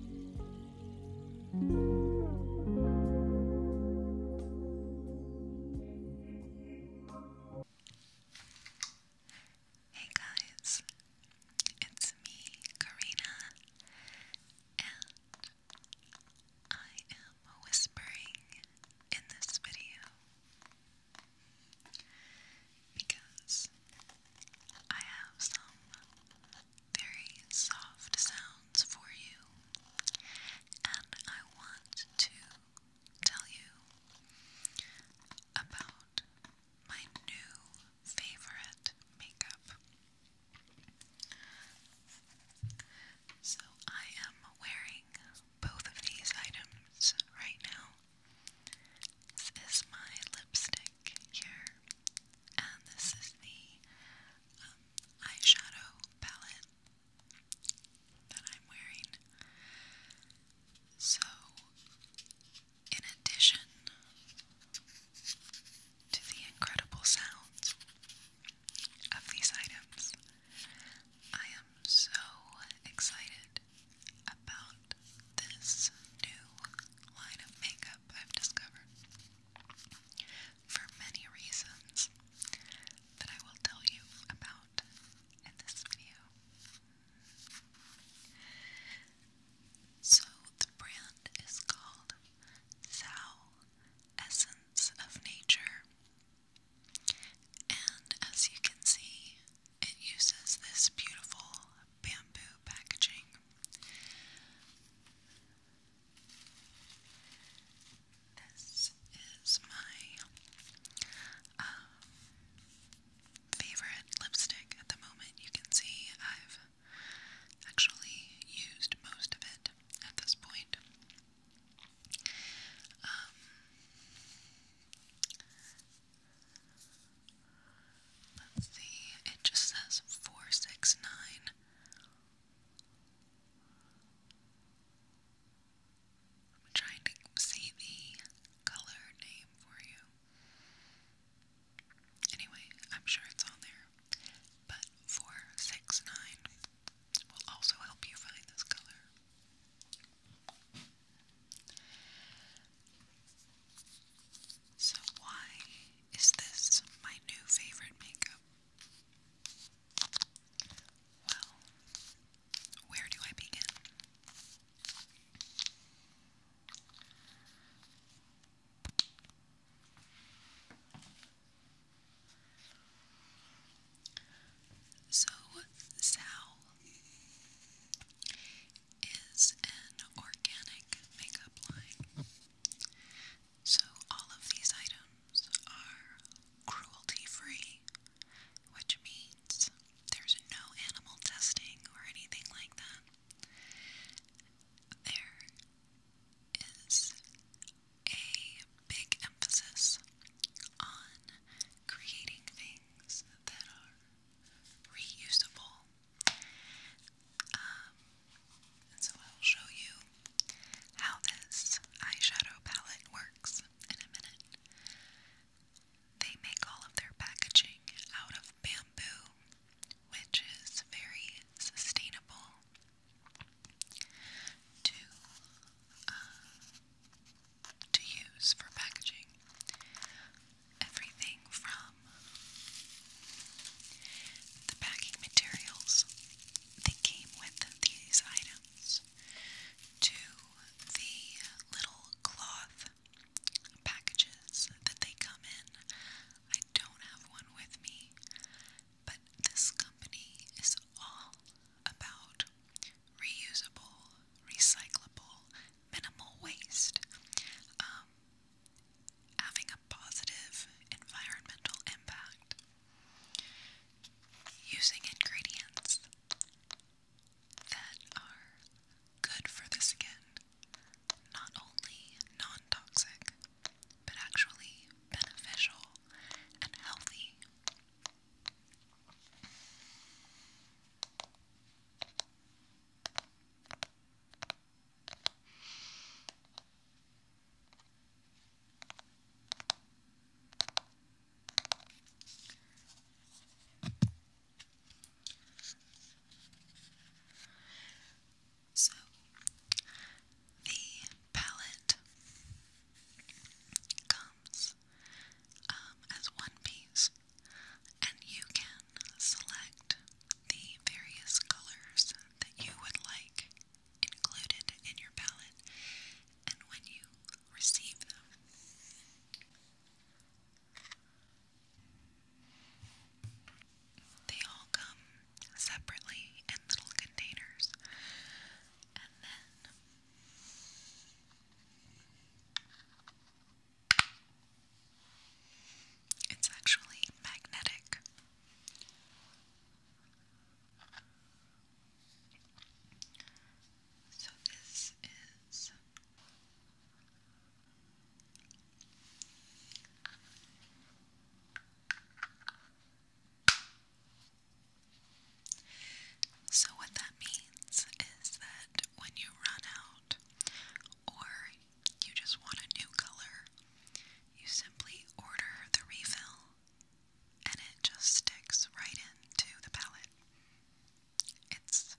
Hey guys, it's me, Karina, and I am whispering in this video because I have some very soft sounds for you, and I want to tell you about my new favorite makeup. So, I am wearing both of these items right now. This is my lipstick black here. And this is the um, eyeshadow palette that I'm wearing. So, in addition to the incredible sounds of these items, I am so excited about this new line of makeup I've discovered for many reasons that I will tell you about in this video. So, the brand is called Zao Essence of Nature, and as you can see, it uses this beautiful bamboo packaging. This is my um, favorite lipstick at the moment. You can see I've actually used most of it at this point. Um, Let's see, it just says 469. I'm trying to see the color name for you. Anyway, I'm sure it's on there. But 469 will also help you find this color. So, why is this my new favorite makeup? Well, where do I begin? So, Sal is an organic makeup line. So, all of these items are cruelty free, which means there's no animal testing or anything like that. There is a big emphasis on creating things that are reusable um, so I'll show you how this eyeshadow palette works in a minute. They make all of their packaging out of bamboo, which is very sustainable to uh, to use for packaging everything from the packing materials that came with these items to the little cloth packages that they come in. I don't have one with me, but this company is all about reusable, recyclable, minimal waste, um, having a positive environmental impact, using ingredients that are good for the skin, not only non toxic, but actually beneficial and healthy. So, the palette comes um, as one piece and you can select the various colors that you would like included in your palette and when you receive them. They all come separately in little containers and then it's actually magnetic. So this is so, what that means is that when you run out or you just want a new color, you simply order the refill and it just sticks right into the palette. It's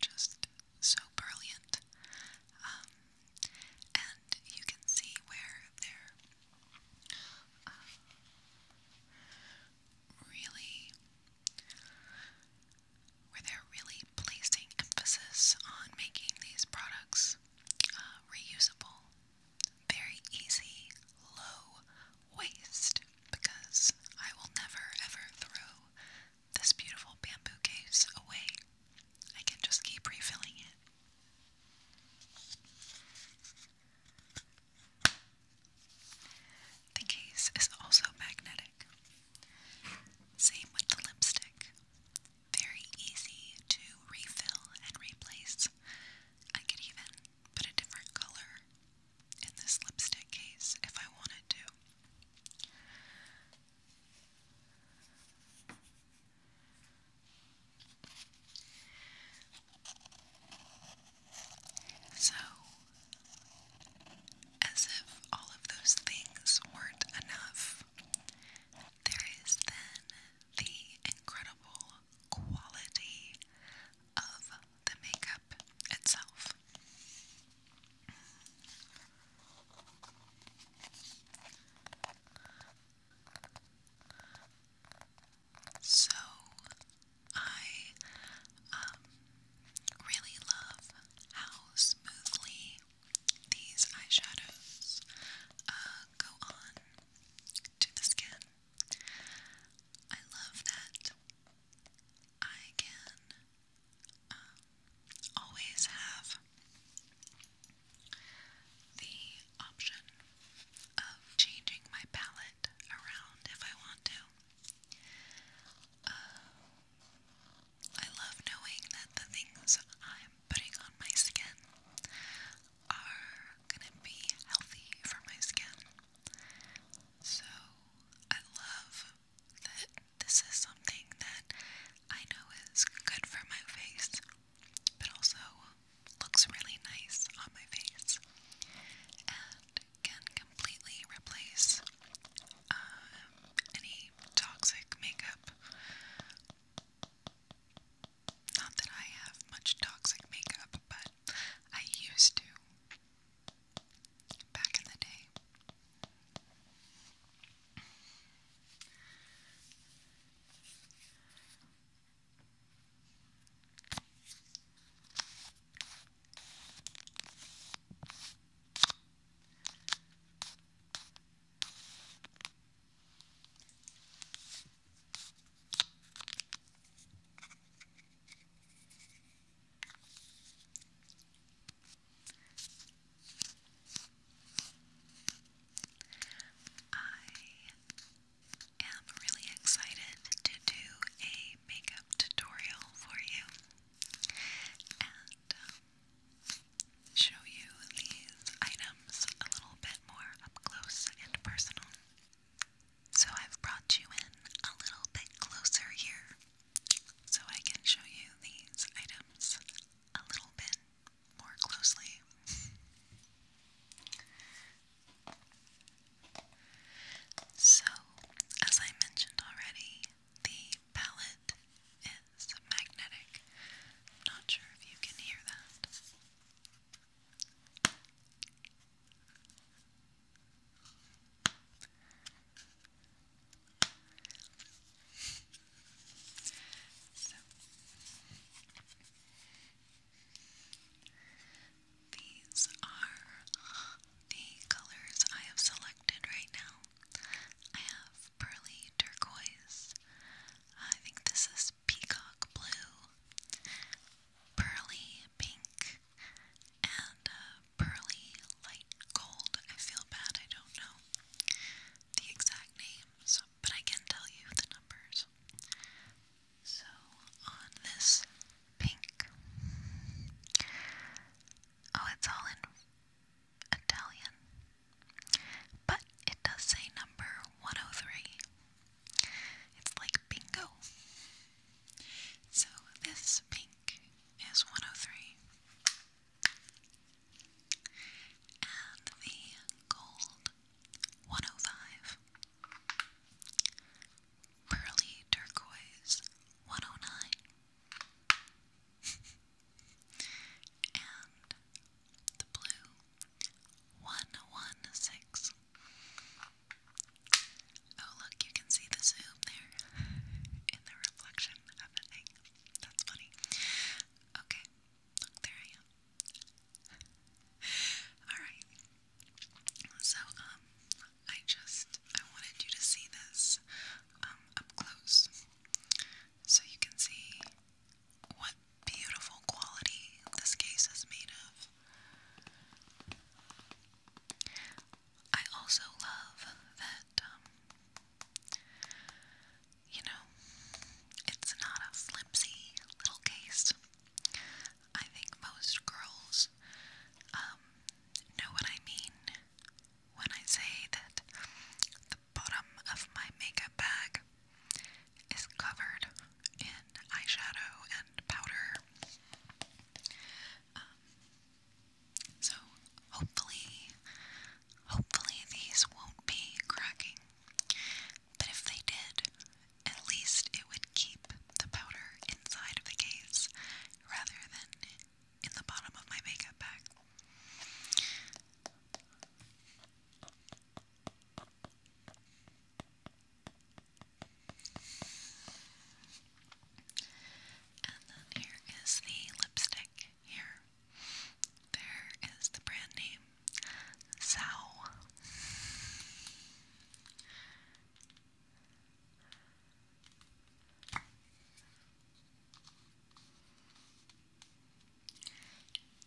just so brilliant. Um, and you can see where they're uh, really where they're really placing emphasis on making these products uh, reusable, very easy, low waste. Because I will never ever throw this beautiful bamboo case away, I can just keep refilling it. The case is also magnetic. Same with the lipstick. Very easy to refill and replace. I could even put a different color in this lipstick case if I wanted to. So, as if all of those things weren't enough, there is then the incredible quality of the makeup itself. So, I um, really love how smoothly these eyeshadows uh, go on to the skin. I love that I can um, always have the option of changing my palette around if I want to. I love knowing that the things I'm putting on my skin are gonna be healthy for my skin. So I love that this is something that I know is good for my face, but also looks really nice on my face. And can completely replace um, any toxic makeup. Not that I have much toxic makeup, but I used to back in the day. I am really excited to do a makeup tutorial for you and um, show you these items a little bit more up close and personal. So I've brought you in a little bit closer here so I can show you these items a little bit more closely. So, as I mentioned already, the palette is magnetic. not sure if you can hear that. These are the colors I have selected right now. I have pearly turquoise. I think this is peacock blue, pearly pink, and uh, pearly light gold. I feel bad, I don't know the exact names, but I can tell you the numbers. So on this pink, oh, it's all in Italian, but it does say number 103. It's like bingo. So this pink is 103. And the gold 105. Pearly Turquoise 109. and the blue 116. Oh, look, you can see the zoom there in the reflection of the thing. That's funny. Okay, look, there I am. Alright, so, um, I just, I wanted you to see this, um, up close. So you can see what beautiful quality this case is made of. I also love that, um, you know, it's not a flimsy little case. I think most girls um, know what I mean when I say that the bottom of my makeup bag is covered in eyeshadow and powder. Um, so hopefully, hopefully these won't be cracking. But if they did, at least it would keep the powder inside of the case rather than in the bottom of my makeup bag. And then here is the lipstick here. There is the brand name. Sow.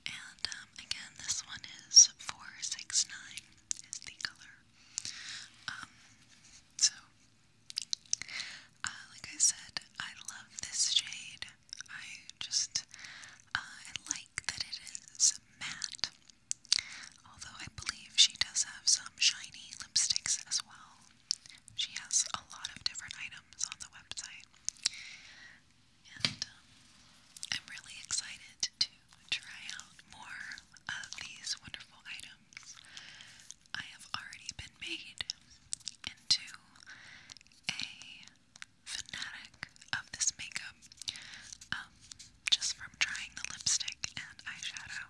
And um, again, this one is 469 is the color. Um, so, uh, like I said, I love this shade. I just, uh, I like that it is matte. Although I believe she does have some shiny lipsticks as well. She has a lot of different items on the website. And um, I'm really excited to try out more of these wonderful items. I have already been made into a fanatic of this makeup. Um, just from trying the lipstick and eyeshadow.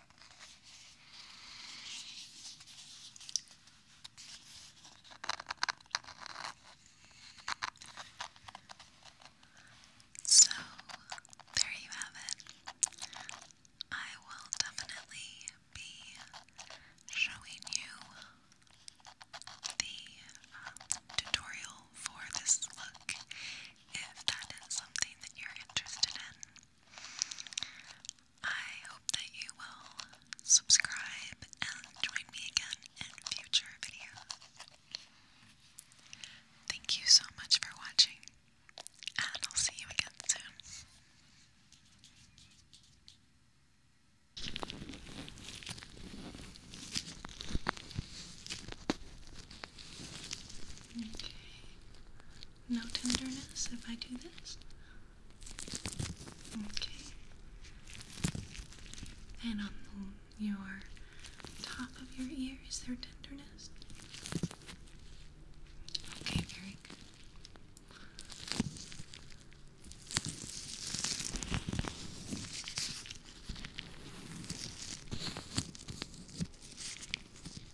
So, there you have it. I will definitely be showing you the um, tutorial for this look if that is something that you're interested in. I hope that you will subscribe and join me again in future videos. Thank you so much for watching, and I'll see you again soon. Okay. No tenderness if I do this? Okay. And on your top of your ear, there tenderness? Okay, very good.